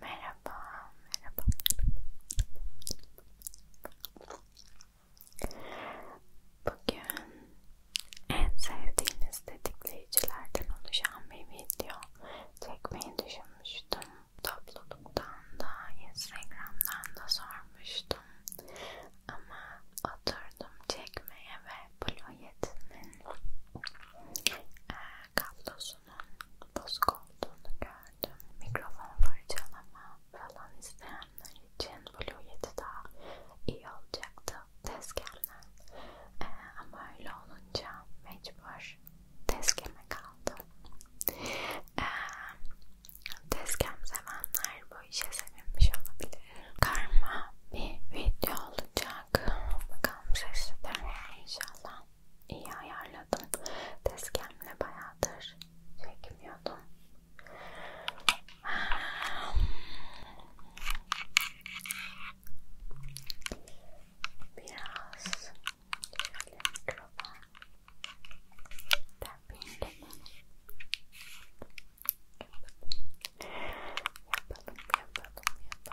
Merhaba, merhaba. Bugün en sevdiğiniz tetikleyicilerden oluşan bir video çekmeyi düşünmüştüm. Topluluktan da, Instagram'dan da sormuştum. Ama oturdum çekmeye ve Blue Yeti'nin kablosunun bozuk olduğunu gördüm. Mikrofon fırçalama falan isteyenler için Blue Yeti daha iyi olacaktı tezgahımdan. Ee, ama öyle olunca mecbur tezgeme kaldı. Ee, tezgem sevenler bu işe sevinmiş olabilir. Karma bir video olacak. Bakalım sesli inşallah iyi ayarladım. Tezgahımla bayağıdır çekmiyordum. Biraz şöyle mikrofon tappingleyelim. Yapalım, yapalım, yapalım.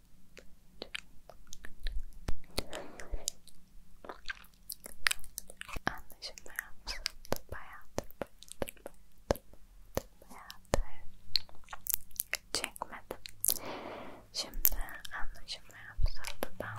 anlaşılmayan bayağı bayağıdır, bayağıdır, bayağıdır, bayağıdır çekmedim. Şimdi anlaşılmayan sırtıdan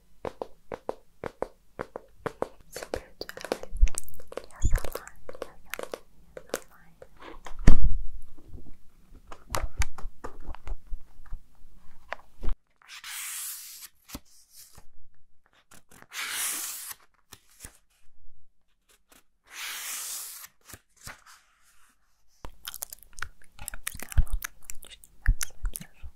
It's a good eye. Yes, I lie. Yes, I lie. Yes, I lie. Got